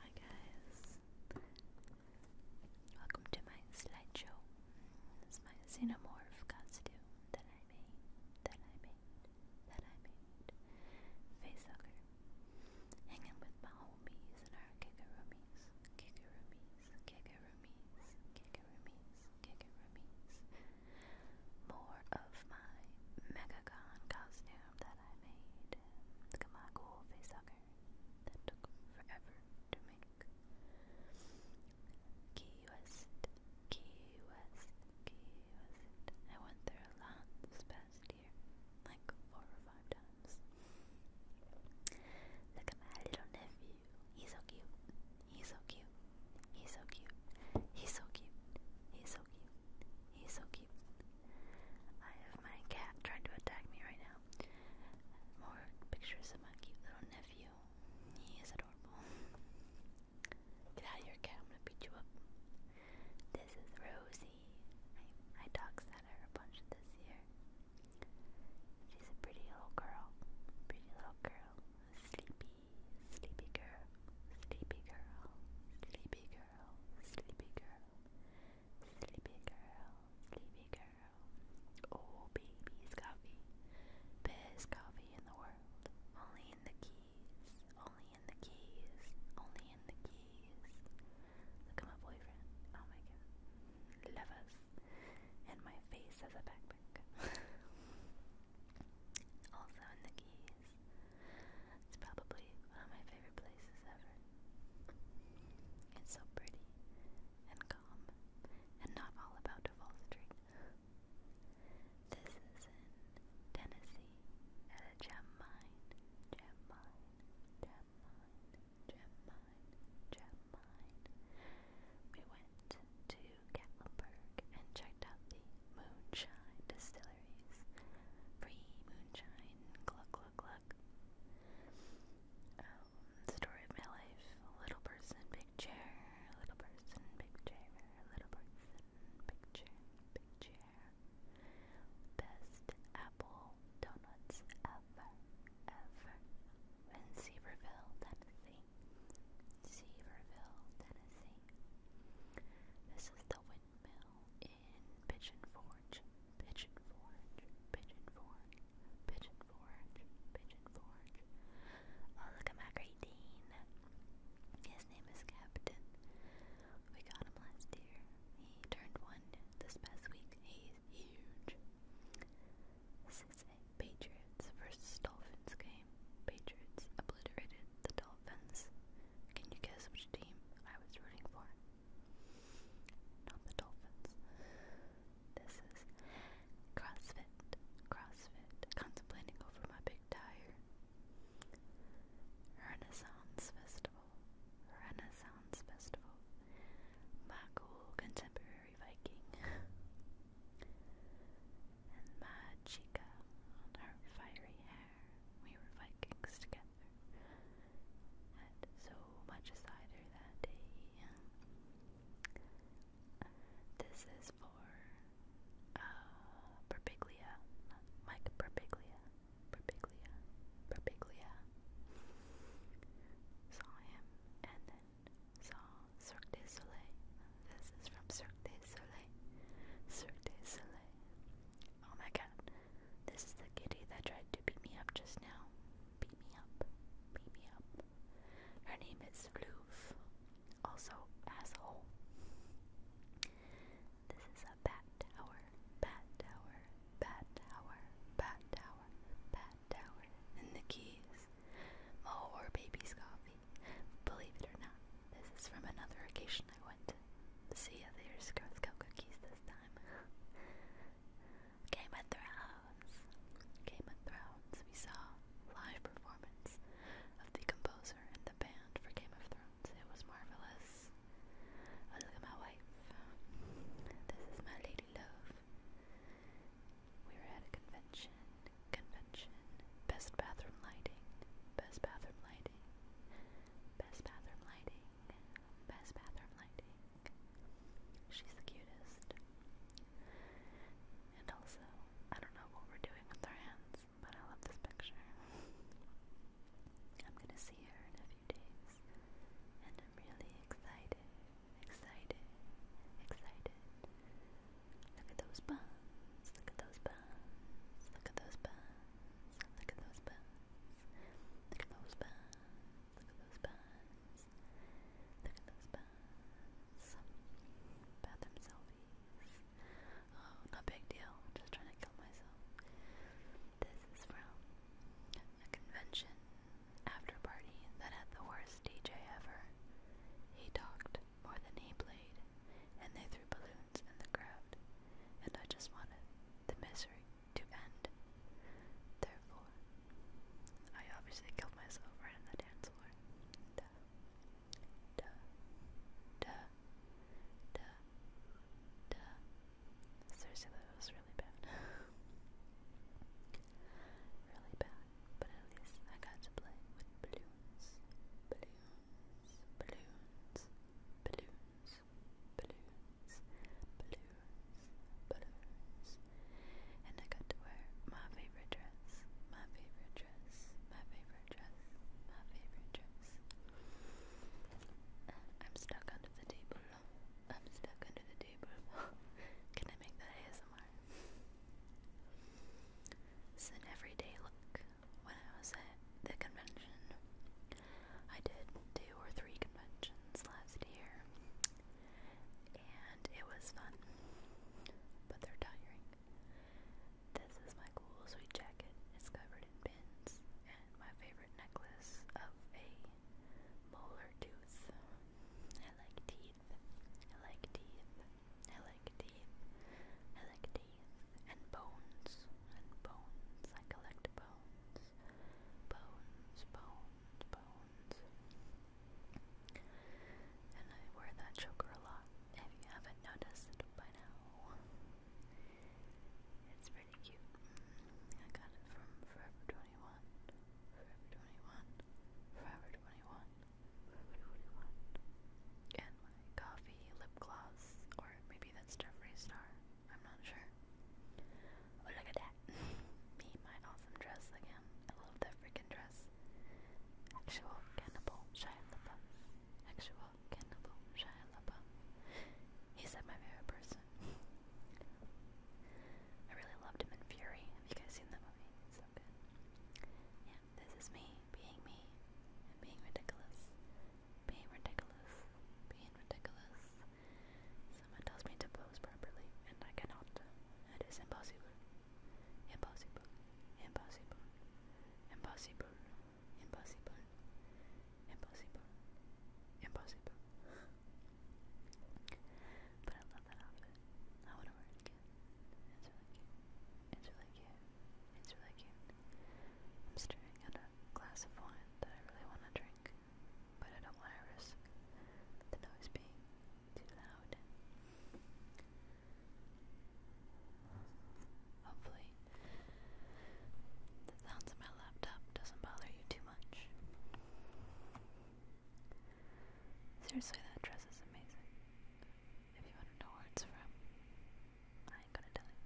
Hi guys, welcome to my slideshow. This my xenomorph costume that I made, that I made, that I made. Facehugger. Hanging with my homies and our kikarumis, kikarumis, kikarumis, kikarumis, kikarumis more of my MegaCon costume that I made. Look at my cool face that took forever to make. Key West, Key West, Key West. I went there a lot this past year, like four or five times. Look at my little nephew. He's so cute. He's so cute. He's so cute. He's so cute. He's so cute. He's so cute. I have my cat trying to attack me right now. More pictures of my cute little nephew. He is adorable. Get out of your cat. I'm gonna beat you up. This is Rosie. I, I dog sat her a bunch this year. She's a pretty little girl. Pretty little girl. Sleepy sleepy girl, sleepy girl, sleepy girl, sleepy girl, sleepy girl, sleepy girl. Oh, baby's coffee, best coffee in the world. Only in the keys, only in the keys, only in the keys. Look at my boyfriend. Oh my god, love us. And my face as a backpack quick. also in the Keys. It's probably one of my favorite places ever. It's so pretty and calm and not all about Duval Street. This is in Tennessee at a gem mine. Gem mine. Gem mine. Gem mine. Gem mine. We went to Gatlinburg and checked out the moonshine distilleries. Free moonshine, gluck, gluck, gluck. Um, story of my life. Little person, big chair. Little person, big chair. Little person, big chair, big chair. Best apple donuts ever, ever. Vancouverville, Tennessee. Seaverville, Tennessee. This is the windmill in Pigeon Forge, Pigeon Forge, Pigeon Forge, Pigeon Forge, Pigeon Forge. Oh, look at my great dean. His name is Captain. We got him last year. He turned one this past week. He's huge. This is Patriots versus Dolphins game. Patriots obliterated the Dolphins. Can you guess which team I was rooting for? Not the Dolphins. This is CrossFit. CrossFit. Contemplating over my big tire. Renaissance Festival. Renaissance Festival. My contemporary very Viking. and my chica on her fiery hair, we were Vikings together, had so much cider that day. This is for uh, Berbiglia, Mike Berbiglia, Berbiglia, Berbiglia. Saw him and then saw Cirque du Soleil. This is from Cirque du Soleil. Cirque du Soleil. Oh my god. This is the kitty that tried to beat me up just now. Beat me up. Beat me up. Her name is Loof. Also, asshole. This is a bat tower. Bat tower. Bat tower. Bat tower. Bat tower. And the keys more oh, baby's coffee. Believe it or not, this is from another occasion I went to. See if there's Girl Scout cookies this time. Game of Thrones. Game of Thrones. We saw live performance of the composer and the band for Game of Thrones. It was marvelous. Oh, look at my wife. This is my lady love. We were at a convention, convention, best bathroom lighting, best bathroom lighting, best bathroom lighting, best bathroom lighting. She's the cutest. And also, I don't know what we're doing with our hands, but I love this picture. I'm gonna see her in a few days, I'm really excited, excited, excited. Look at those buns, look at those buns, look at those buns, look at those buns, look at those buns, look at those buns, look at those buns. Bathroom selfies. Oh, no big deal. I'm just trying to kill myself. This is from a convention after party that had the worst DJ ever. He talked more than he played, and they threw balloons in the crowd, and I just wanted the misery to end. Therefore, I obviously killed myself right in the dance floor. Duh. Duh. Duh. Duh. Duh. Seriously it was really bad. really bad. But at least I got to play with balloons. Balloons. Balloons. Balloons. Balloons. Balloons. Balloons. And I got to wear my favorite dress. My favorite dress. My favorite dress. My favorite dress. I'm stuck under the table I'm stuck under the table. Can I make that ASMR? It's an everyday look. When I was at the convention, I did two or three conventions last year, and it was fun, but they're tiring. This is my cool sweet jacket. It's covered in pins, and my favorite favorite necklace of a molar tooth. I like teeth. I like teeth. I like teeth. I like teeth. And bones. And bones. I collect bones. Bones, bones, bones. And I wear that choker a lot, if you haven't noticed by now. It's very pretty cute. I got it from Forever 21. Forever 21. Forever 21. Forever 21. And my coffee lip gloss, or maybe that's Jeffree Star. I'm not sure. Oh, look at that. Me, my awesome dress again. I love that freaking dress. Actual cannibal Shia LaBeouf. Actual cannibal Shia LaBeouf. He's at my favorite person. I really loved him in Fury. Have you guys seen that movie? so good. Yeah, this is me being me being ridiculous. Being ridiculous. Being ridiculous. Someone tells me to pose properly, and I cannot. It is impossible. Impossible. Impossible. Impossible. Impossible. Impossible. Impossible. but I love that outfit. I want to wear it again. It's really cute. It's really cute. I'm staring at a glass of wine that I really want to drink, but I don't want to risk the noise being too loud. Hopefully, hopefully the sounds of my laptop doesn't bother you too much. Seriously, that dress is amazing. If you want to know where it's from, I ain't gonna tell you.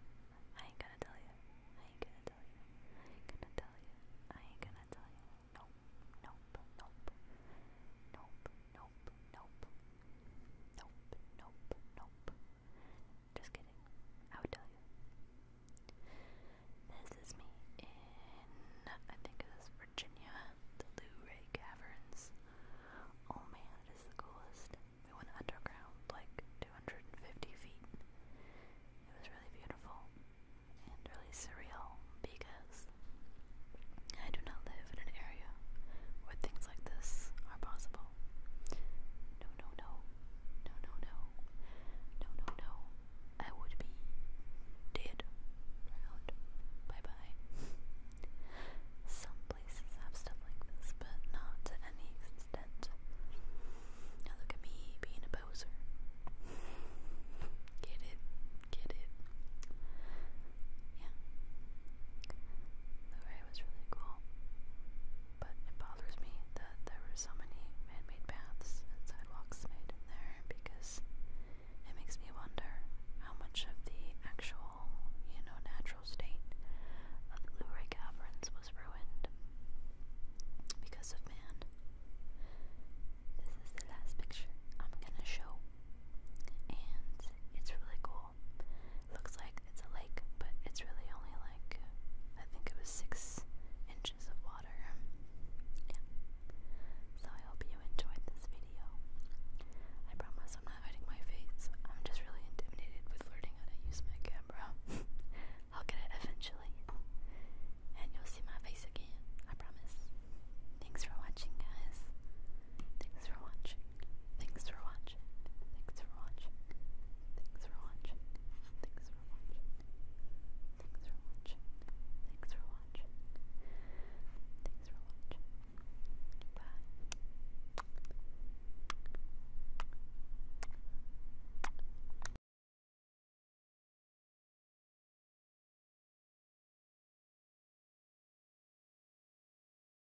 I ain't gonna tell you. I ain't gonna tell you. I ain't gonna tell you. I ain't gonna tell you. Nope, nope, nope. Nope, nope, nope. Nope, nope, nope. Just kidding. I would tell you. This is me in, I think it was Virginia, the Lou Ray Caverns. Oh man, it is the coolest. We went underground like 250 feet. It was really beautiful and really surreal because I do not live in an area where things like this are possible. No, no, no. No, no, no. No, no, no. I would be dead. Around. Bye bye. Some places have stuff like this, but not to any extent. Now look at me being a poser. Get it? Get it? Yeah. The ride was really cool but it bothers me that there were so many man-made paths and sidewalks made in there because it makes me wonder how much of the actual, you know, natural state of the Luray Caverns was ruined because of man. This is the last picture I'm gonna show, and it's really cool. Looks like it's a lake, but it's really only like I think it was six inches of water. So I hope you enjoyed this video. I promise I'm not hiding my face. I'm just really intimidated with learning how to use my camera. I'll get it eventually. And you'll see my face again. I promise. Thanks for watching guys. Thanks for watching. Thanks for watching. Thanks for watching. Thanks for watching. Thanks for watching. Thanks for watching. Thanks for watching. Thanks for watching. Bye.